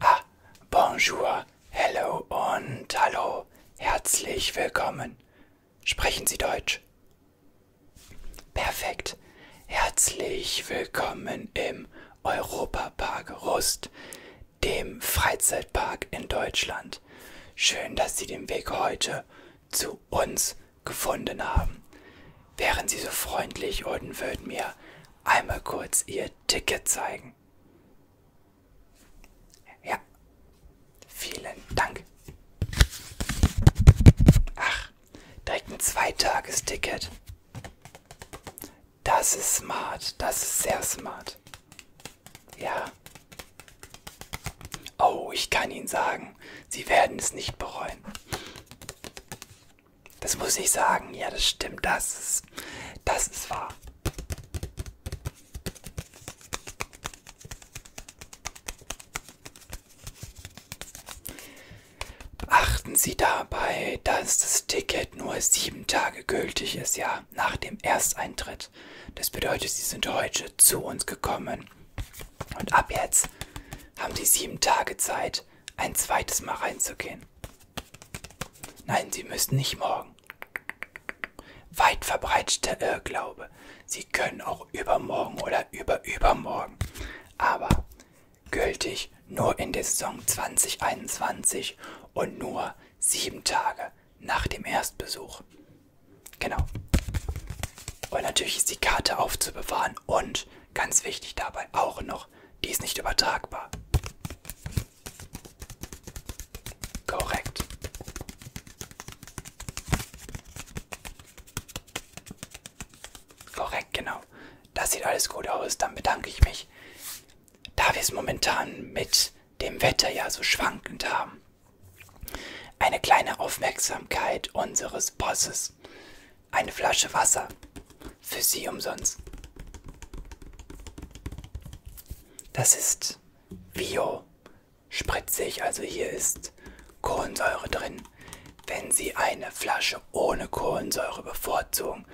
Ah, bonjour, hello und hallo. Herzlich willkommen. Sprechen Sie Deutsch? Perfekt. Herzlich willkommen im Europapark Rust, dem Freizeitpark in Deutschland. Schön, dass Sie den Weg heute zu uns gefunden haben. Wären Sie so freundlich und würden mir einmal kurz Ihr Ticket zeigen. Ja, vielen Dank. Ach, direkt ein Zweitagesticket. Das ist smart, das ist sehr smart. Ja. Oh, ich kann Ihnen sagen, sagen. Sie werden es nicht bereuen. Das muss ich sagen. Ja, das stimmt. Das ist, das ist wahr. Achten Sie dabei, dass das Ticket nur sieben Tage gültig ist, ja, nach dem Ersteintritt. Das bedeutet, Sie sind heute zu uns gekommen und ab jetzt haben Sie sieben Tage Zeit, ein zweites Mal reinzugehen. Nein, Sie müssen nicht morgen. Weit verbreiteter Irrglaube. Sie können auch übermorgen oder überübermorgen. Aber gültig nur in der Saison 2021 und nur sieben Tage nach dem Erstbesuch. Genau. Und natürlich ist die Karte aufzubewahren kann. Und ganz wichtig dabei auch noch, die ist nicht übertragbar. Korrekt. Korrekt, genau. Das sieht alles gut aus. Dann bedanke ich mich. Da wir es momentan mit dem Wetter ja so schwankend haben, eine kleine Aufmerksamkeit unseres Bosses Schnaps. Eine Flasche Wasser. Für Sie umsonst. Das ist bio spritzig, also hier ist Kohlensäure drin. Wenn Sie eine Flasche ohne Kohlensäure bevorzugen,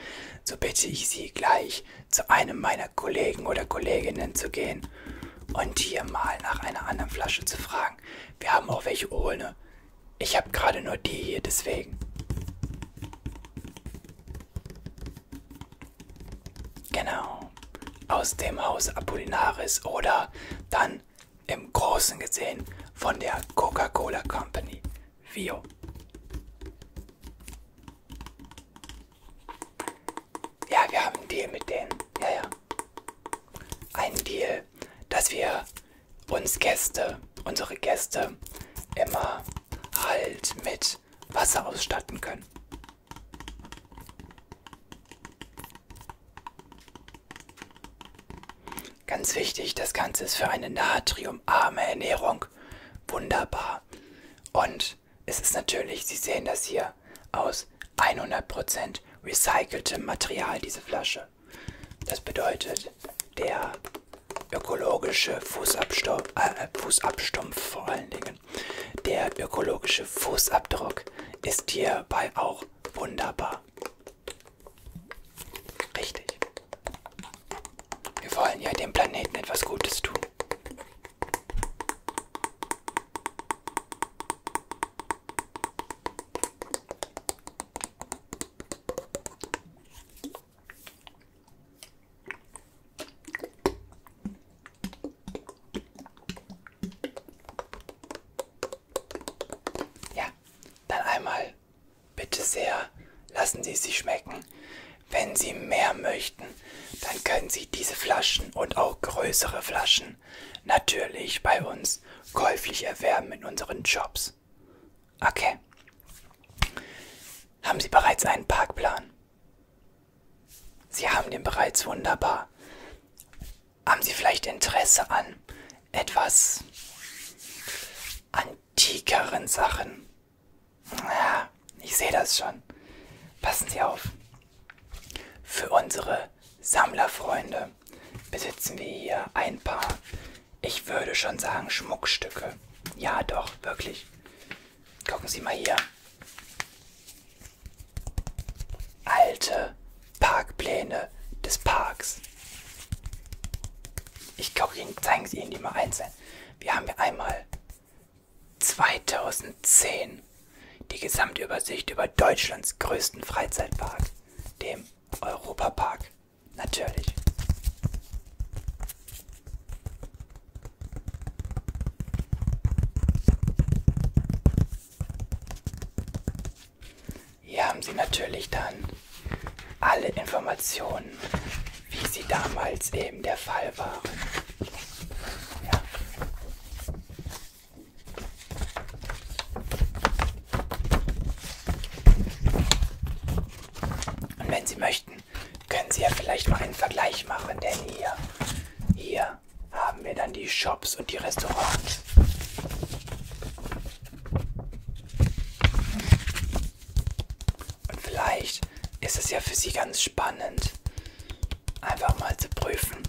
so bitte ich Sie gleich zu einem meiner Kollegen oder Kolleginnen zu gehen und hier mal nach einer anderen Flasche zu fragen sagen. Wir haben auch welche ohne. Ich habe gerade nur die hier, deswegen. Genau. Aus dem Haus Apollinaris oder dann im Großen gesehen von der Coca-Cola Company. Vio. Ja, wir haben einen Deal mit denen. Ja, ja. Ein Deal Fall, dass wir uns Gäste, unsere Gäste, immer halt mit Wasser ausstatten können. Ganz wichtig, das Ganze ist für eine natriumarme Ernährung wunderbar. Und es ist natürlich, Sie sehen das hier, aus aus 100% recyceltem Material, diese Flasche. Das bedeutet, der ökologische Fußabstumpf, äh, äh, Fußabstumpf vor allen Dingen, der ökologische Fußabdruck ist hierbei auch wunderbar. Richtig. Wir wollen ja dem Planeten etwas Gutes tun. Ja, dann einmal bitte sehr, lassen Sie sich schmecken. Wenn Sie mehr möchten, dann können Sie diese Flaschen und auch größere Flaschen Sachen natürlich bei uns käuflich erwerben in unseren Jobs. Okay. Haben Sie bereits einen Parkplan? Sie haben den bereits wunderbar. Haben Sie vielleicht Interesse an etwas antikeren Sachen? Ja, ich sehe das schon. Passen Sie auf. Für unsere Sammlerfreunde besitzen wir hier ein paar, ich würde schon sagen, Schmuckstücke. Ja, doch, wirklich. Gucken Sie mal hier. Alte Parkpläne des Parks. Ich gucke Ihnen, zeigen Sie Ihnen die mal einzeln. Wir haben hier einmal 2010 die Gesamtübersicht über Deutschlands größten Freizeitpark, dem Europapark. Natürlich. Hier haben Sie natürlich dann alle Informationen, wie sie damals eben der Fall waren. Ja. Und wenn Sie möchten, können Sie ja vielleicht mal einen Vergleich machen, denn hier, hier haben wir dann die Shops und die Restaurants. Und vielleicht ist es ja für Sie ganz spannend, einfach mal zu prüfen,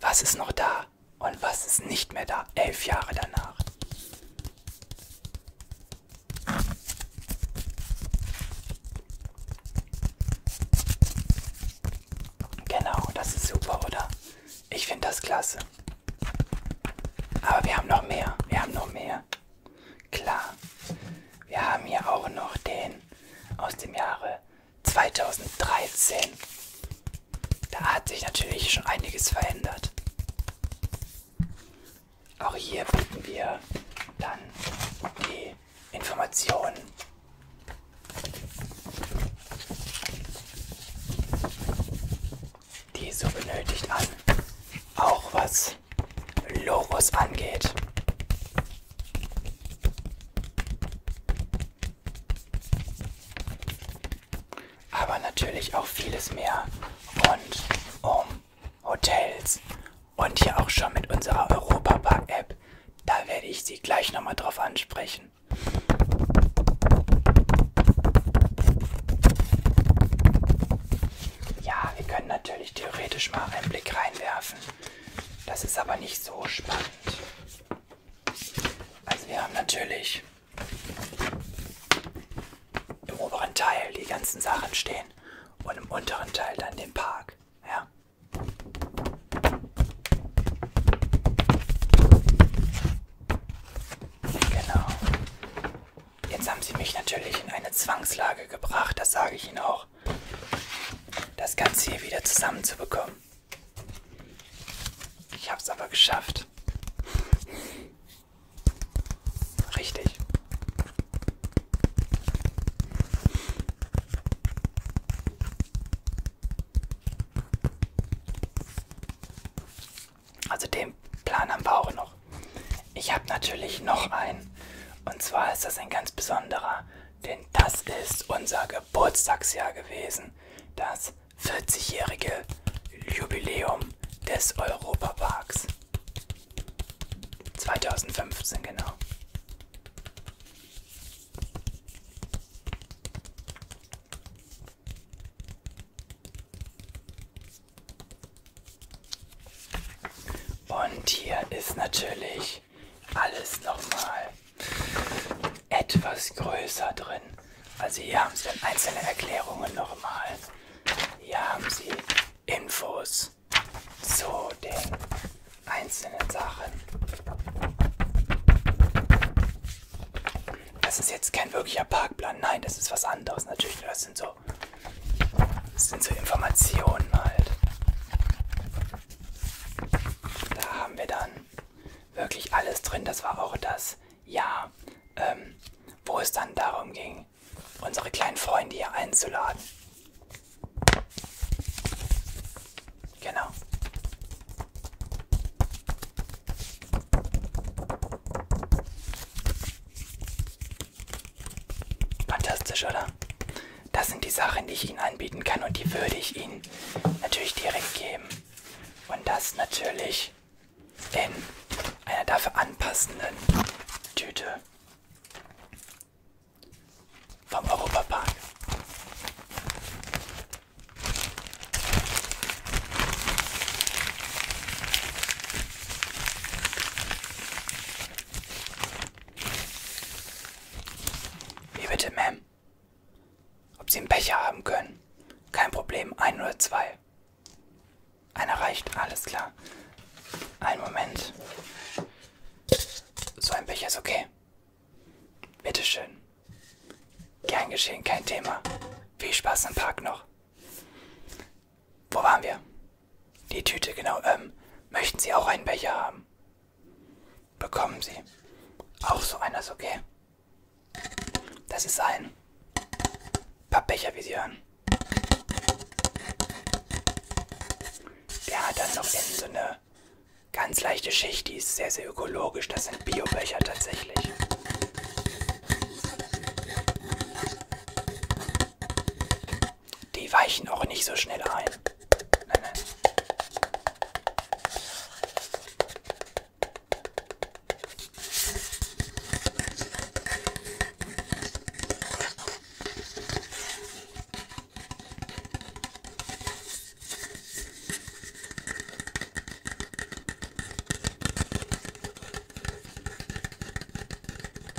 was ist noch da und was ist nicht mehr da, elf Jahre danach. Genau, das ist super, oder? Ich finde das klasse. Aber wir haben noch mehr, wir haben noch mehr. Klar, wir haben hier auch noch den aus dem Jahre 2013. Da hat sich natürlich schon einiges verändert. Auch hier bieten wir dann die Informationen. Die so benötigt an. Auch was Logos angeht. Aber natürlich auch vieles mehr rund um Hotels und hier auch schon mit unserer Europapark-App. Da werde ich Sie gleich nochmal drauf ansprechen. Ja, wir können natürlich theoretisch mal einen Blick reinwerfen. Das ist aber nicht so spannend. Also wir haben natürlich im oberen Teil die ganzen Sachen stehen und im unteren Teil dann den Park. Ja. Genau. Jetzt haben sie mich natürlich in eine Zwangslage gebracht, das sage ich Ihnen auch. Das Ganze hier wieder zusammenzubekommen. Ich hab's aber geschafft. Richtig. Also den Plan haben wir auch noch. Ich habe natürlich noch einen. Und zwar ist das ein ganz besonderer denn das ist unser Geburtstagsjahr gewesen, das 40-jährige Jubiläum des Europaparks. 2015 genau. Und hier ist natürlich natürlich alles nochmal etwas größer drin. Also hier haben Sie dann einzelne Erklärungen nochmal. Hier haben Sie Infos zu den einzelnen Sachen. Das ist jetzt kein wirklicher Parkplan, nein, das ist was anderes natürlich. Das sind so, das sind so Informationen halt. Da haben wir dann wirklich alles drin. Das war auch das Jahr, ähm, wo es dann darum ging, unsere kleinen Freunde hier einzuladen. Genau. Fantastisch, oder? Das sind die Sachen, die ich Ihnen anbieten kann und die würde ich Ihnen natürlich direkt geben. Und das natürlich in einer dafür anpassenden Tüte vom Europapark. Wie bitte, Ma'am? Ob Sie einen Becher haben können? Kein Problem, ein oder zwei. Einer reicht, alles klar. Einen Moment. So ein Becher ist okay. Bitteschön. Gern geschehen, kein Thema. Viel Spaß im Park noch. Wo waren wir? Die Tüte, genau. Ähm, möchten Sie auch einen Becher haben? bekommen Sie auch so eines, okay? Das ist ein Pappbecher, wie Sie hören. Der hat dann noch innen so eine ganz leichte Schicht, die ist sehr, sehr ökologisch. Das sind Biobecher tatsächlich. Die weichen auch nicht so schnell ein. Nein, nein.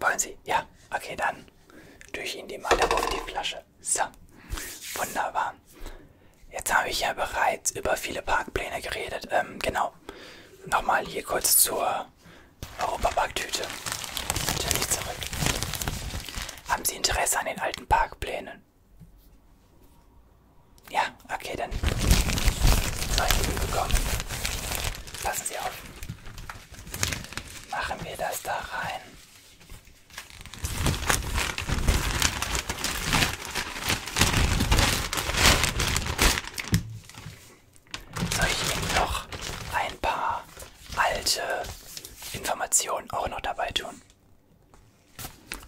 Wollen Sie? Ja, okay, dann tue ich Ihnen die mal auf die Flasche. So, wunderbar. Jetzt habe ich ja bereits über viele Parkpläne geredet. Ähm, genau, Genau. Nochmal hier kurz zur Europaparktüte. Natürlich zurück. Haben Sie Interesse an den alten Parkplänen? Ja, okay, dann solche bekommen. Passen Sie auf. Machen wir das da rein. Soll ich Ihnen noch ein paar alte Informationen auch noch dabei tun?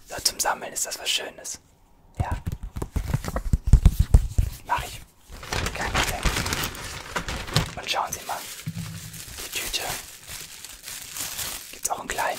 So, zum Sammeln ist das was Schönes. Ja. Mach ich. Kein Problem. Und schauen Sie mal. Die Tüte. Gibt's auch einen kleinen.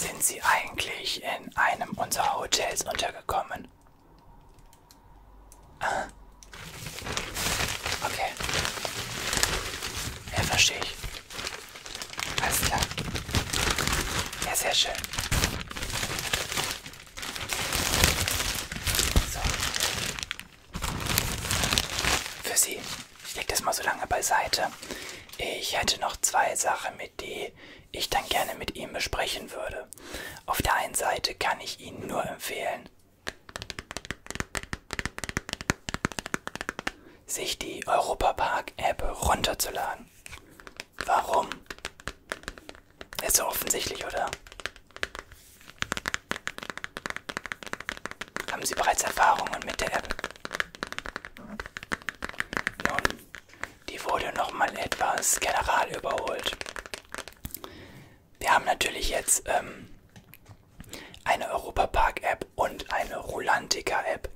Sind Sie eigentlich in einem unserer Hotels untergekommen? Ah. Okay. Ja, verstehe ich. Alles klar. Ja, sehr schön. So für Sie. Ich lege das mal so lange beiseite. Ich hätte noch zwei Sachen, mit die ich dann gerne mit Ihnen besprechen würde. Auf der einen Seite kann ich Ihnen nur empfehlen, sich die Europapark-App runterzuladen. Warum? Ist so offensichtlich, oder? Haben Sie bereits Erfahrungen mit der App? Nun, die wurde nochmal etwas general überholt. Wir haben natürlich jetzt ähm, eine Europapark-App und eine Rulantica-App.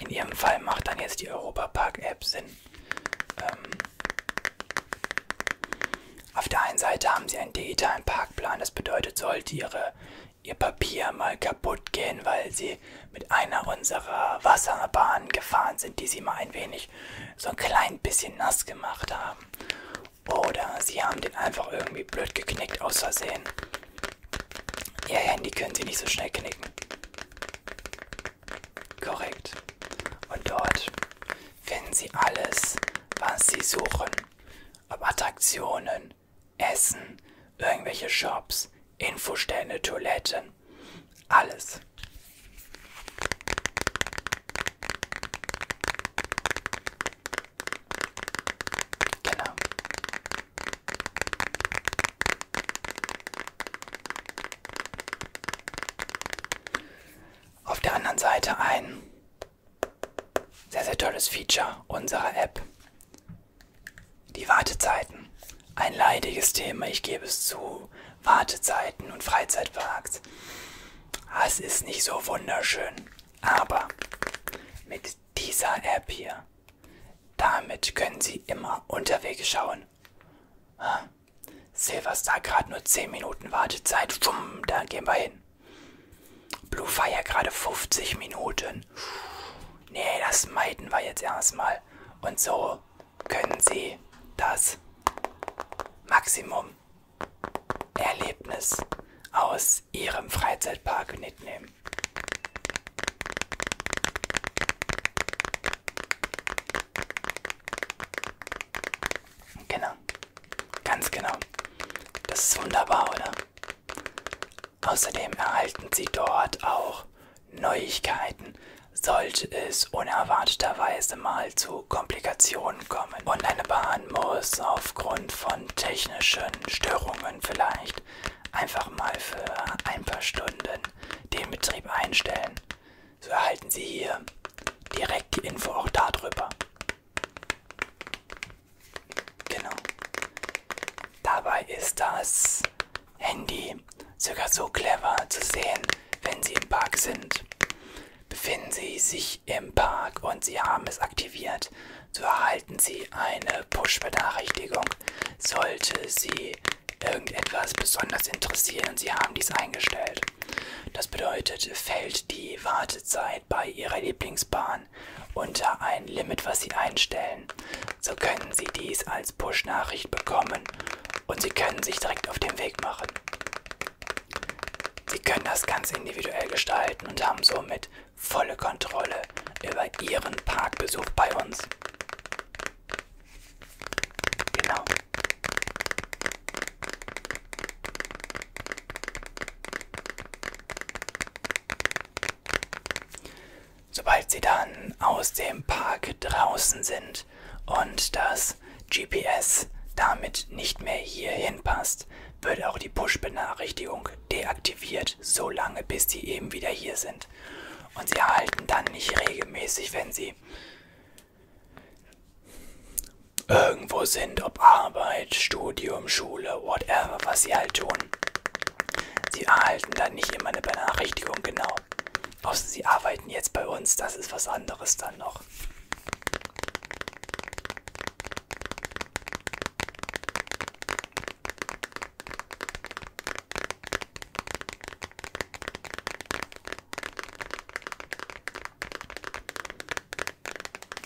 In Ihrem Fall macht dann jetzt die Europapark-App Sinn. Ähm, auf der einen Seite haben sie einen digitalen Parkplan, das bedeutet, sollte ihre, ihr Papier mal kaputt gehen, weil sie mit einer unserer Wasserbahnen gefahren sind, die sie mal ein wenig, so ein klein bisschen nass gemacht haben. Oder sie haben den einfach irgendwie blöd geknickt aus Versehen. Ihr Handy können sie nicht so schnell knicken. Korrekt. Und dort finden Sie alles, was Sie suchen. Ob Attraktionen, Essen, irgendwelche Shops, Infostände, Toiletten, alles. Genau auf der anderen Seite ein sehr, sehr tolles Feature unserer App. Die Wartezeiten. Ein leidiges Thema, ich gebe es zu. Wartezeiten und Freizeitparks. Ah, es ist nicht so wunderschön. Aber mit dieser App hier, damit können Sie immer unterwegs schauen. Ah. Silverstar gerade nur 10 Minuten Wartezeit. Schwumm, da gehen wir hin. Blue Fire gerade 50 Minuten. Nee, das meiden wir jetzt erstmal. Und so können Sie das Maximum Erlebnis aus Ihrem Freizeitpark mitnehmen. Genau. Ganz genau. Das ist wunderbar, oder? Außerdem erhalten Sie dort auch Neuigkeiten, sollte es unerwarteterweise mal zu Komplikationen kommen und eine Bahn muss aufgrund von technischen Störungen vielleicht einfach mal für ein paar Stunden den Betrieb einstellen. So erhalten Sie hier direkt die Info auch darüber. Genau. Dabei ist das Handy sogar so clever zu sehen, wenn Sie im Park sind. Befinden Sie sich im Park und Sie haben es aktiviert, so erhalten Sie eine Push-Benachrichtigung, sollte Sie irgendetwas besonders interessieren und Sie haben dies eingestellt. Das bedeutet, fällt die Wartezeit bei Ihrer Lieblingsbahn unter ein Limit, was Sie einstellen. So können Sie dies als Push-Nachricht bekommen und Sie können sich direkt auf den Weg machen. Sie können das ganz individuell gestalten und haben somit volle Kontrolle über Ihren Parkbesuch bei uns. Genau. Sobald Sie dann aus dem Park draußen sind und das GPS damit nicht mehr hierhin passt, wird auch die Push-Benachrichtigung deaktiviert, solange bis Sie eben wieder hier sind. Und Sie erhalten dann nicht regelmäßig, wenn Sie irgendwo sind, ob Arbeit, Studium, Schule, whatever, was sie halt tun. Sie erhalten dann nicht immer eine Benachrichtigung, genau. Außer sie arbeiten jetzt bei uns, das ist was anderes dann noch.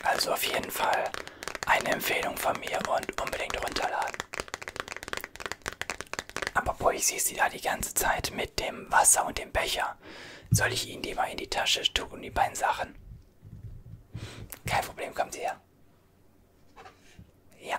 Also auf jeden Fall eine Empfehlung von mir und unbedingt runterladen. Aber boah, ich sehe sie da die ganze Zeit mit dem Wasser und dem Becher. Soll ich ihnen die mal in die Tasche tun, die beiden Sachen? Kein Problem, kommt sie her. Ja.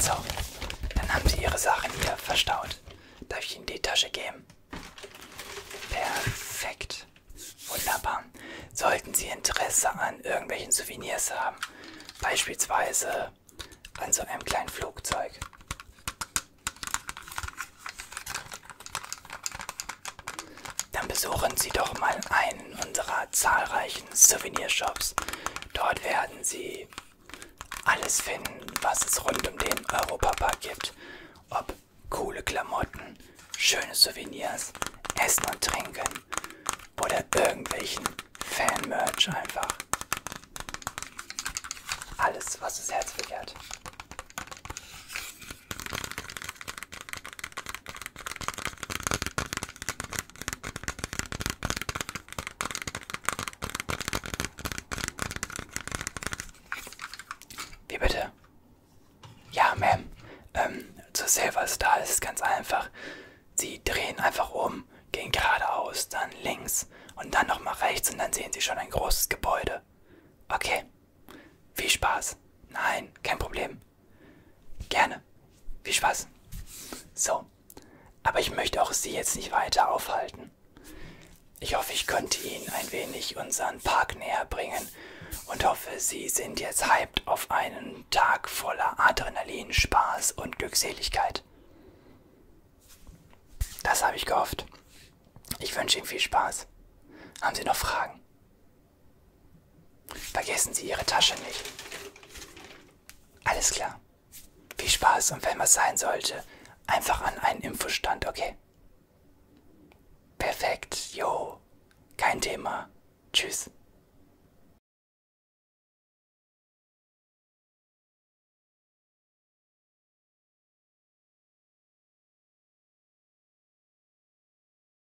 So, dann haben Sie Ihre Sachen hier verstaut. Darf ich Ihnen die Tasche geben? Perfekt. Wunderbar. Sollten Sie Interesse an irgendwelchen Souvenirs haben, beispielsweise an so einem kleinen Flugzeug dann besuchen Sie doch mal einen unserer zahlreichen Souvenirshops. Dort werden Sie alles finden, was es rund um den Europapark gibt. Ob coole Klamotten, schöne Souvenirs, Essen und Trinken oder irgendwelchen Fan-Merch einfach. Alles, was das Herz begehrt. Wie bitte? Ja, Ma'am. Ähm, zur Silver Star ist es ganz einfach. Sie drehen einfach um, gehen geradeaus, dann links und dann nochmal rechts und dann sehen Sie schon ein großes Gebäude. Okay. Viel Spaß. Nein, kein Problem. Gerne. Viel Spaß. So. Aber ich möchte auch Sie jetzt nicht weiter aufhalten. Ich hoffe, ich konnte Ihnen ein wenig unseren Park näher bringen und hoffe, Sie sind jetzt hyped auf einen Tag voller Adrenalin, Spaß und Glückseligkeit. Das habe ich gehofft. Ich wünsche Ihnen viel Spaß. Haben Sie noch Fragen? Vergessen Sie Ihre Tasche nicht. Alles klar. Viel Spaß und wenn was sein sollte, einfach an einen Infostand, okay? Perfekt, jo. Kein Thema. Tschüss.